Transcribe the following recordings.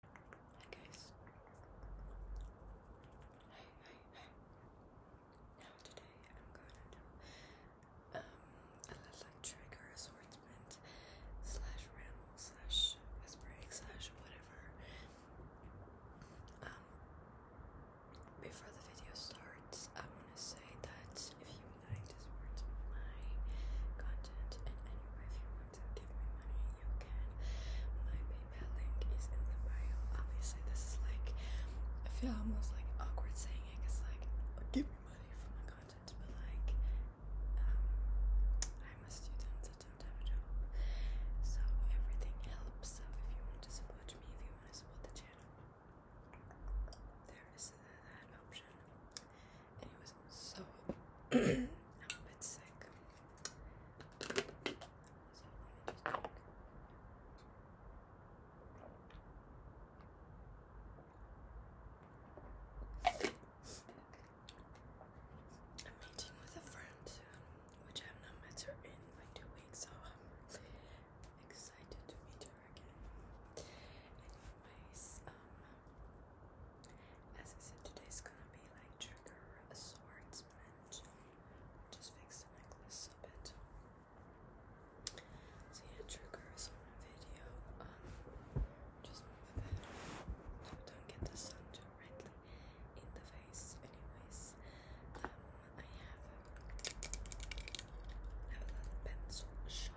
Hi guys. Hi, hi, hi. Now today I'm gonna do um a little assortment slash ramble slash whispering slash whatever. Um before the video starts I wanna say that if you like to support my content in any way if you want to give me money, you can. My PayPal link is in the bio. Obviously, this is like I feel almost like awkward saying it because like give me money for my content, but like um, I'm a student, I don't have a job, so everything helps. So if you want to support me, if you want to support the channel, there is uh, that option and it was so I'm sick. meeting with a friend which I've not met her in like two weeks, so I'm excited to meet her again. Anyways, um, as I said, today's gonna be like trigger swordsman. Just fix the necklace a bit. So yeah, trigger swordsman video. Um, just move that. So don't get the sun directly in the face. Anyways, um, I have. a little pencil sharpener. You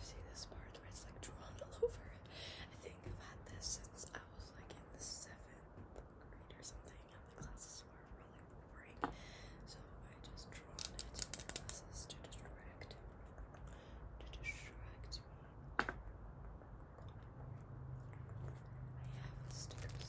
see this part where it's like drawn all over? I think I've had this since I was like in the seventh grade or something the classes were really boring, so I just drawn it in the classes to distract, to distract me. I have stickers.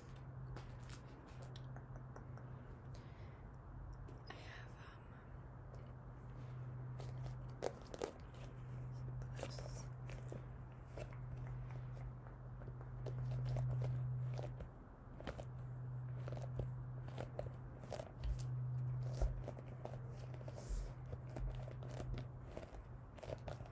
I have, um,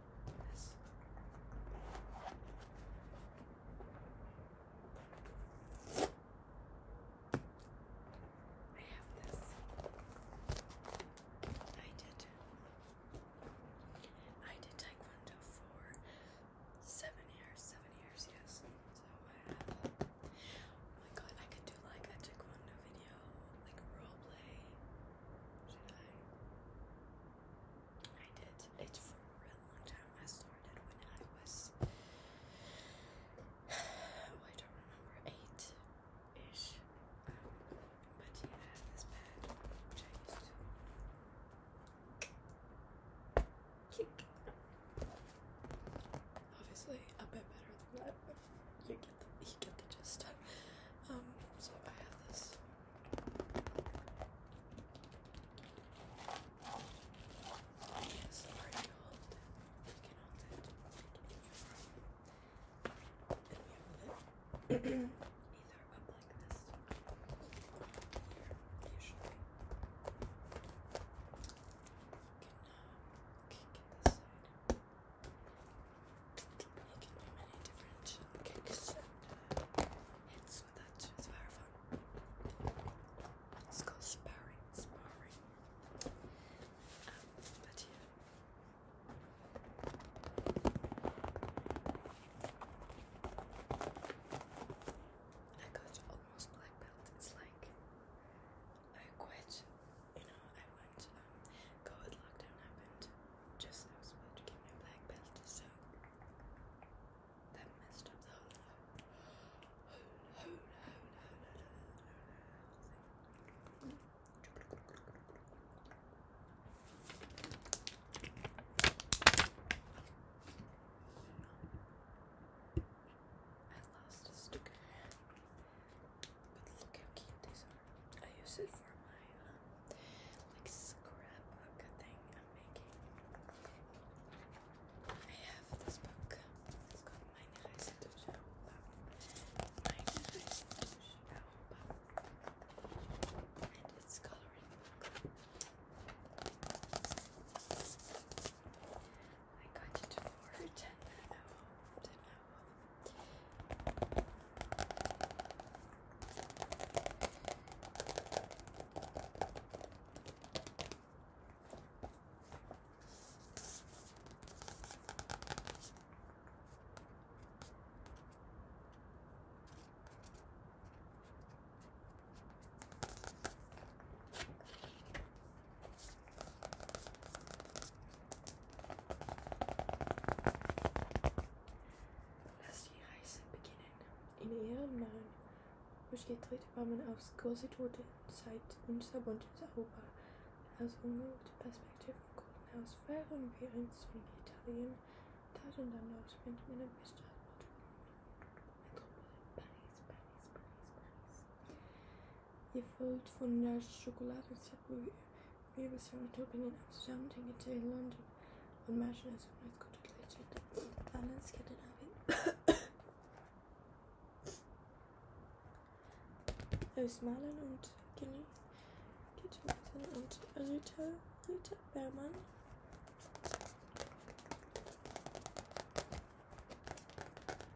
I have this. I did. I did Taekwondo for seven years. Seven years, yes. So I have. Oh my god, I could do like a Taekwondo video, like role should I? did it for a long time. I started when I was I don't remember eight ish. but yeah, this pad which I used to kick. Obviously, a bit better than that you get the, you get the gist. Um, so I have this. Yes, already right, hold it. You can hold it. And we have it either up like this here, usually. You can, uh, kick this side making me many different kicks and hits with it. It's It's called sparring, sparring. but yeah. I got almost black belt. It's like I quit. You know, I went. Um, COVID lockdown happened. Just I was about to get my black belt, so that messed up the whole whole whole whole whole whole thing. I lost a sticker. But look how cute these are. I use it for my um, like scrapbook thing I'm making. I have this book. It's called My Nice And it's coloring I got it for ten an hour, ten hour. Lass die Reise beginnen. In ihrem Namen durchgedreht war man aufs große Tote Zeit unser buntes Europa. Aus ungewohnter Perspektive konnten aus fahren wir ins Italien, Tat und dann Nordwind mit einem Bestand. Metropole Paris. Je voelt voor naar chocolade We hebben Saratopen in Amsterdam, Tinkerton to London, on Marshall as well as got to Leicester, Balance, Scandinavia. Aus Malen und Genie, Kitchen und Rita, Rita Bermann this back. I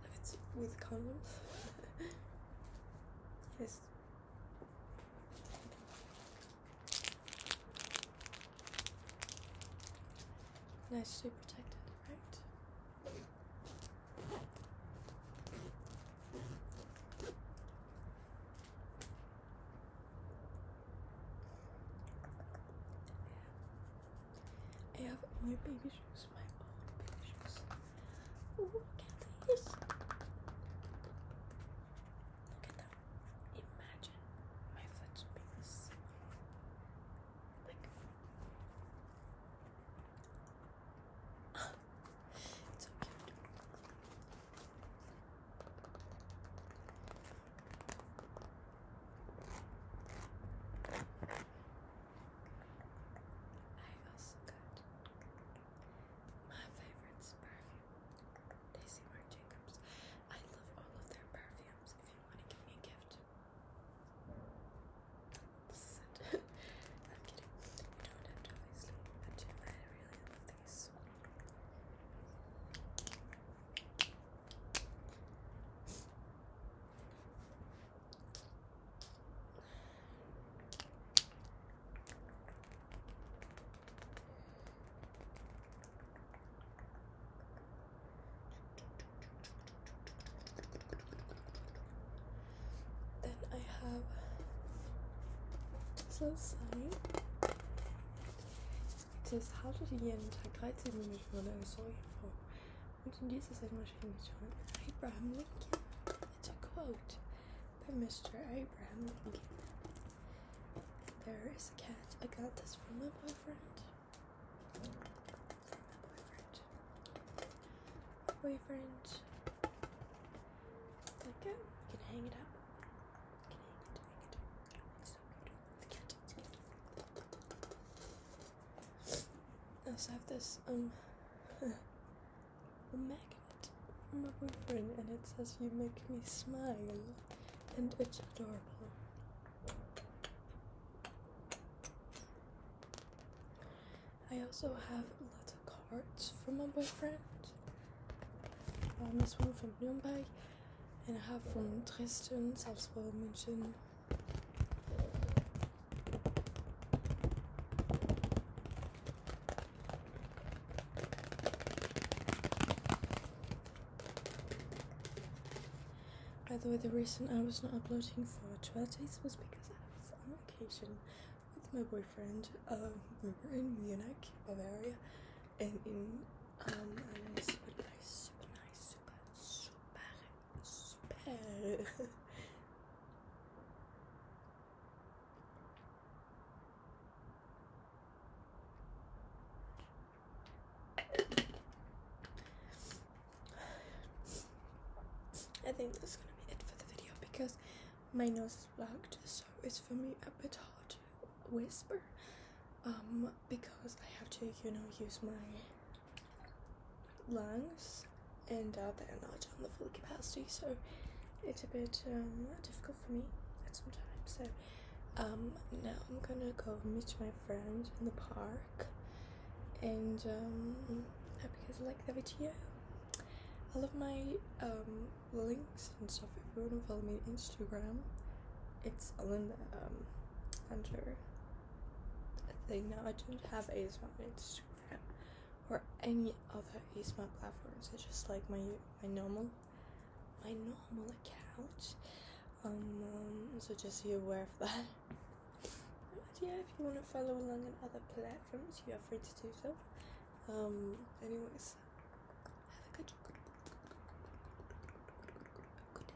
believe it's with condoms. yes. Nicely protected, right? I have my baby shoes, my own baby shoes. look at these! Look at Imagine my foot like so cute. I also got my favorites perfume, Daisy Marc Jacobs. I love all of their perfumes items if you want to give me a gift. I'm kidding. You don't have to, obviously, but I really love these. Then I have so sign. It says, how did you jeden Tag 13 Minuten von einer Säure Und in dieser Sendmaschine schon Abraham Lincoln. It's a quote by Mr. Abraham Lincoln. There is a cat. I got this from my boyfriend. boyfriend. Like that. Um, can hang it up. can hang it, hang it. It's so beautiful. It's cat. I also have this um magnet from my boyfriend and it says you make me smile and it's adorable. I also have lots of cards from my boyfriend. Um, this one from Nuremberg, and I have from Dresden, Salzburg, München. By the way, the reason I was not uploading for 12 days was because I was on vacation with my boyfriend. Um, we were in Munich, Bavaria, and in um, I think that's gonna be it for the video because my nose is blocked, so it's for me a bit hard to whisper. Um, because I have to, you know, use my lungs and uh, they're on the full capacity, so it's a bit um, difficult for me at some times. So um, now I'm gonna go meet my friend in the park, and um, I hope you guys like the video. All of my um, links and stuff, if you want to follow me on Instagram, it's all in the under thing. Now I don't have ASMR on Instagram or any other ASMR platforms. It's just like my my normal my normal account. so just be aware of that. yeah, if you want to follow along on other platforms, you are free to do so. Um, anyways, have a good,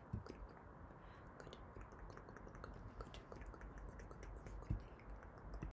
good,